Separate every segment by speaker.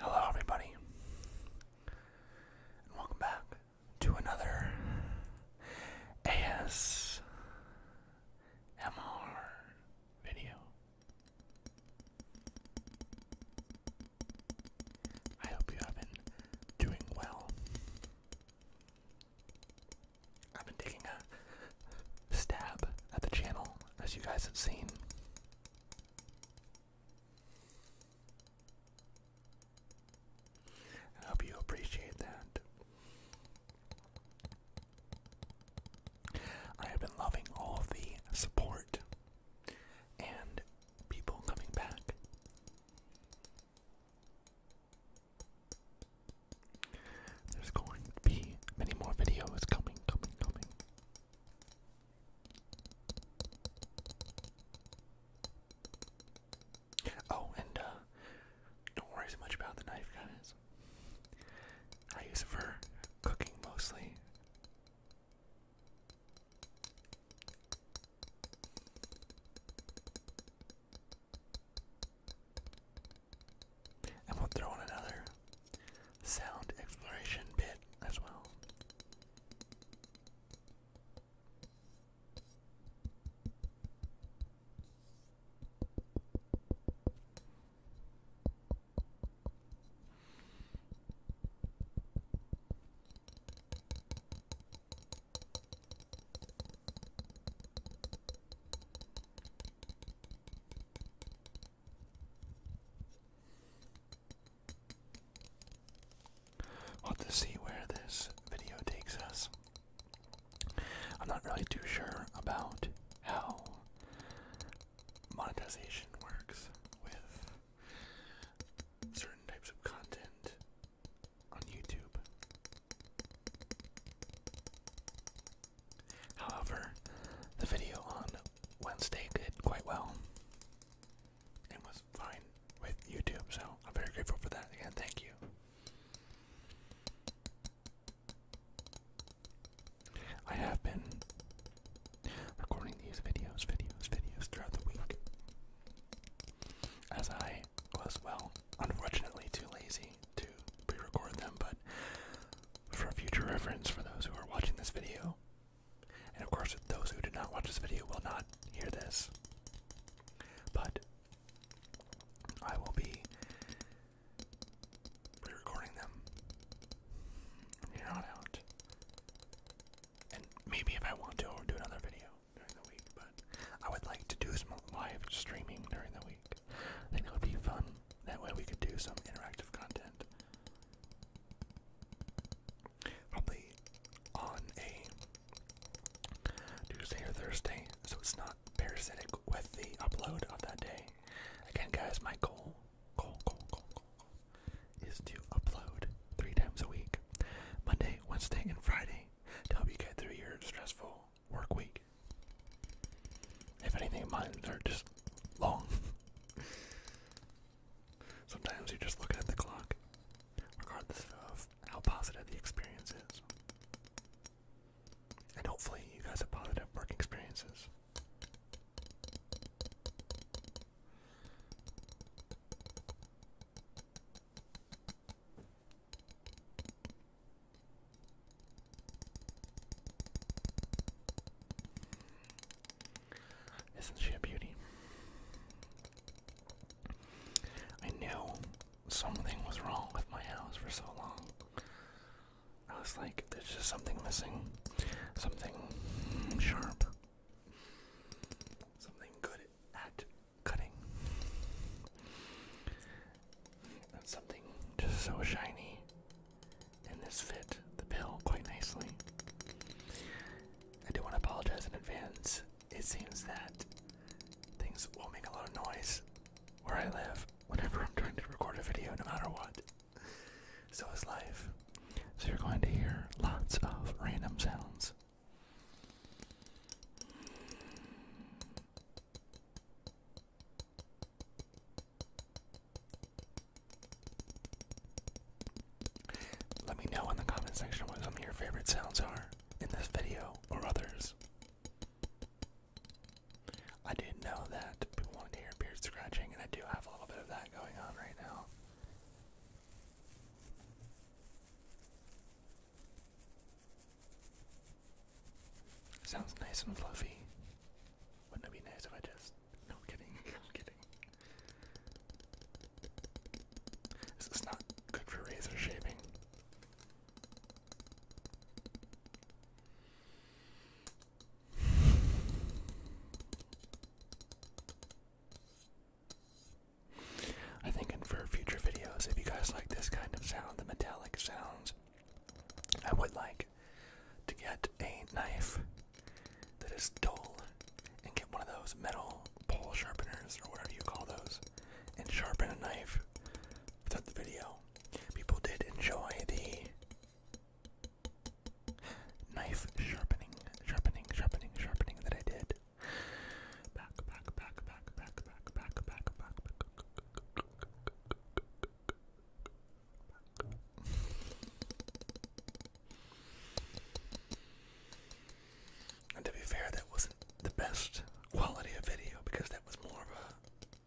Speaker 1: Hello, everybody, and welcome back to another ASMR MR video. I hope you have been doing well. I've been taking a stab at the channel, as you guys have seen. I hope you appreciate that. I have been loving all the support and people coming back. There's going to be many more videos coming, coming, coming. Oh, and uh, don't worry so much about the knife, guys. I use it for cooking mostly. And we'll throw in another sound exploration bit as well we to see where this video takes us. I'm not really too sure about how monetization works with certain types of content on YouTube. However, the video on Wednesday did quite well and was fine with YouTube, so I'm very grateful for that. Again, thank you. I have been recording these videos, videos, videos throughout the week. As I was, well, unfortunately too lazy to pre record them, but for future reference for those who are watching this video, and of course, those who did not watch this video will not hear this, but I will be re-recording them from here on out. And maybe if I want to, I'll do another video during the week. But I would like to do some live streaming during the week. I think that would be fun. That way we could do some interactive content. Probably on a Tuesday or Thursday, so it's not parasitic with the upload of that day. Again, guys, my goal, is to upload three times a week Monday, Wednesday, and Friday to help you get through your stressful work week. If anything, mine are just long. Sometimes you're just looking at the clock, regardless of how positive the experience is. And hopefully, you guys have positive work experiences. Isn't she a beauty? I knew something was wrong with my house for so long. I was like, there's just something missing. Something sharp. Something good at cutting. something just so shiny. And this fit the bill quite nicely. I do want to apologize in advance. It seems that things will make a lot of noise where I live whenever I'm trying to record a video, no matter what. So is life. So you're going to hear lots of random sounds. Let me know in the comment section what some of your favorite sounds are in this video or others. I didn't know that people wanted to hear beard scratching, and I do have a little bit of that going on right now. Sounds nice and fluffy. Wouldn't it be nice if I just. No, i kidding. kidding. This is not good for razor shaving. I think for future videos, if you guys like this kind of sound, the metallic sounds, I would like to get a knife that is dull and get one of those metal pole sharpeners or whatever you call those and sharpen a knife throughout the video. People did enjoy the knife sharpening, sharpening, sharpening, sharpening that I did. Back, back, back, back, back, back, back, back, back, back. And to be fair, that wasn't the best quality of video because that was more of a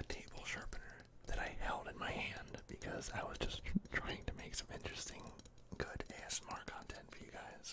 Speaker 1: a table sharpener that I held in my hand because I was just trying to make some interesting, good ASMR content for you guys.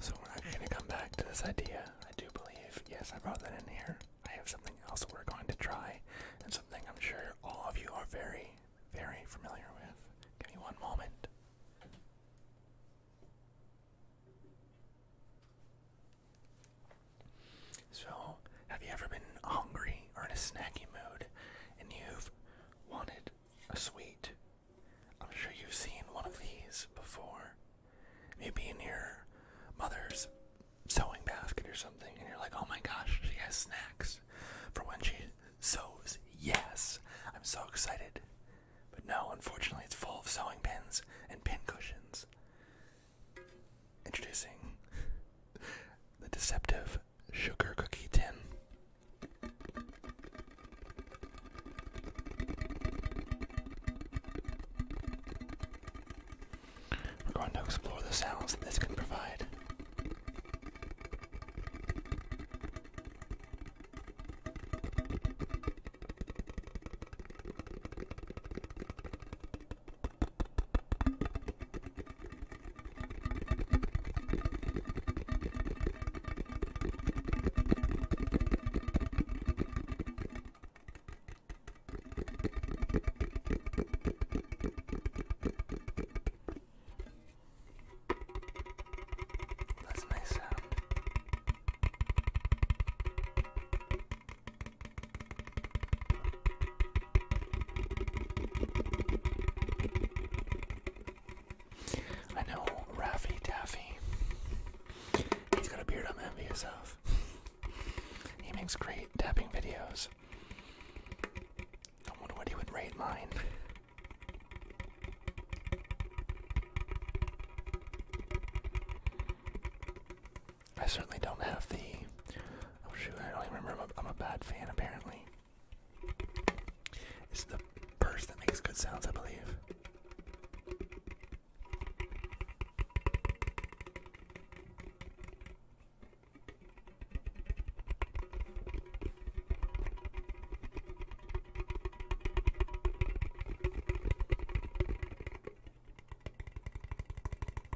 Speaker 1: So we're actually going to come back to this idea. I do believe, yes, I brought that in here. I have something else we're going to try, and something I'm sure all of you are very, very familiar with. Give me one moment. So, have you ever been hungry or in a snacking mood and you've wanted a sweet? I'm sure you've seen one of these before. Maybe in your mother's sewing basket or something, and you're like, oh my gosh, she has snacks for when she sews. Yes, I'm so excited. But no, unfortunately, it's full of sewing pins and pincushions. Introducing the deceptive sugar cookie tin. We're going to explore the sounds this can provide. That's a nice sound. I know Raffy Daffy. He's got a beard I'm envious of. He makes great tapping videos. I wonder what he would rate mine. I certainly don't have the. Oh shoot! I don't remember. i I'm a bad fan, apparently. It's the purse that makes good sounds, I believe.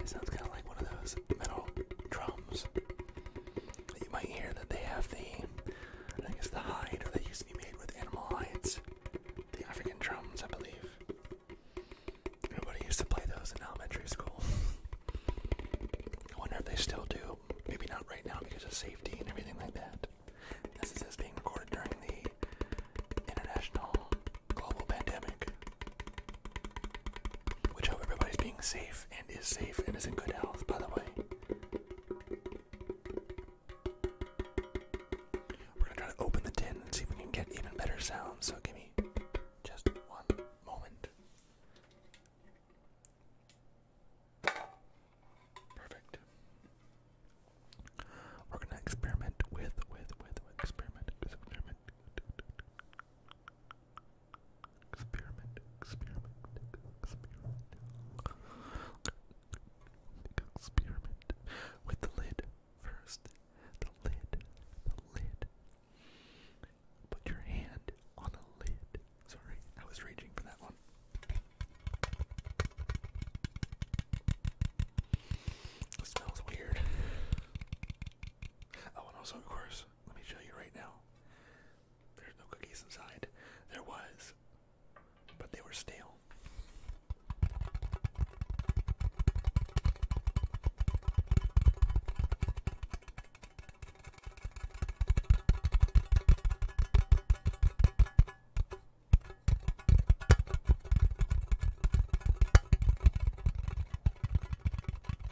Speaker 1: It sounds kind of like one of those metal drums that you might hear that they have the, I guess the hide, or they used to be made with animal hides, the African drums, I believe. Everybody used to play those in elementary school. I wonder if they still do. Maybe not right now because of safety and everything like that. This is being recorded during the international global pandemic. Which hope everybody's being safe and is safe and is in good health, by the way. We're gonna try to open the tin and see if we can get even better sounds, so give me just one moment. Perfect. We're gonna experiment with, with, with, with experiment, experiment. Experiment, experiment, experiment. Experiment with the lid first. The lid, the lid. Put your hand on a lid. Sorry, I was raging for that one. It smells weird. Oh, and also, of course, let me show you right now. There's no cookies inside. There was, but they were stale.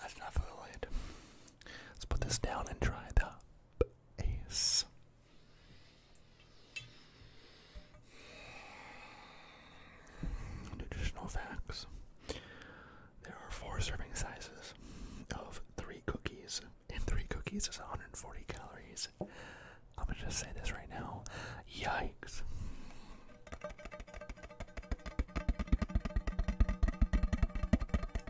Speaker 1: That's enough of the lid. Let's put this down and try the ace. Nutritional facts. There are four serving sizes of three cookies, and three cookies is 140 calories. I'm gonna just say this right now. Yikes.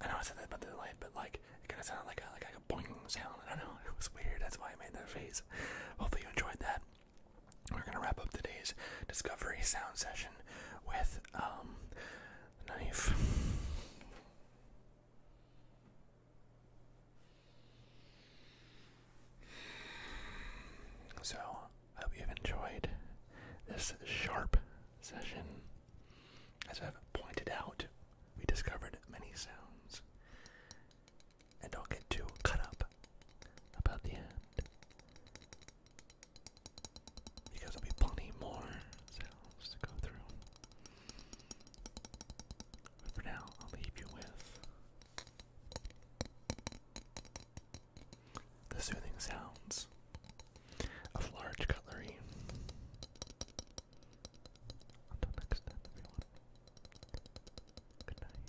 Speaker 1: I know I said that about the light, but like it kind of sounded like a like, a boing sound. I don't know. It was weird. That's why I made that face. Hopefully you enjoyed that. We're gonna wrap up today's discovery sound session with um knife. So I hope you've enjoyed this sharp session as I've pointed out, we discovered many sounds, and don't get too cut up about the end, because there'll be plenty more sounds to go through. But for now, I'll leave you with the soothing sounds of large cutlery. Until next time, everyone. Good night.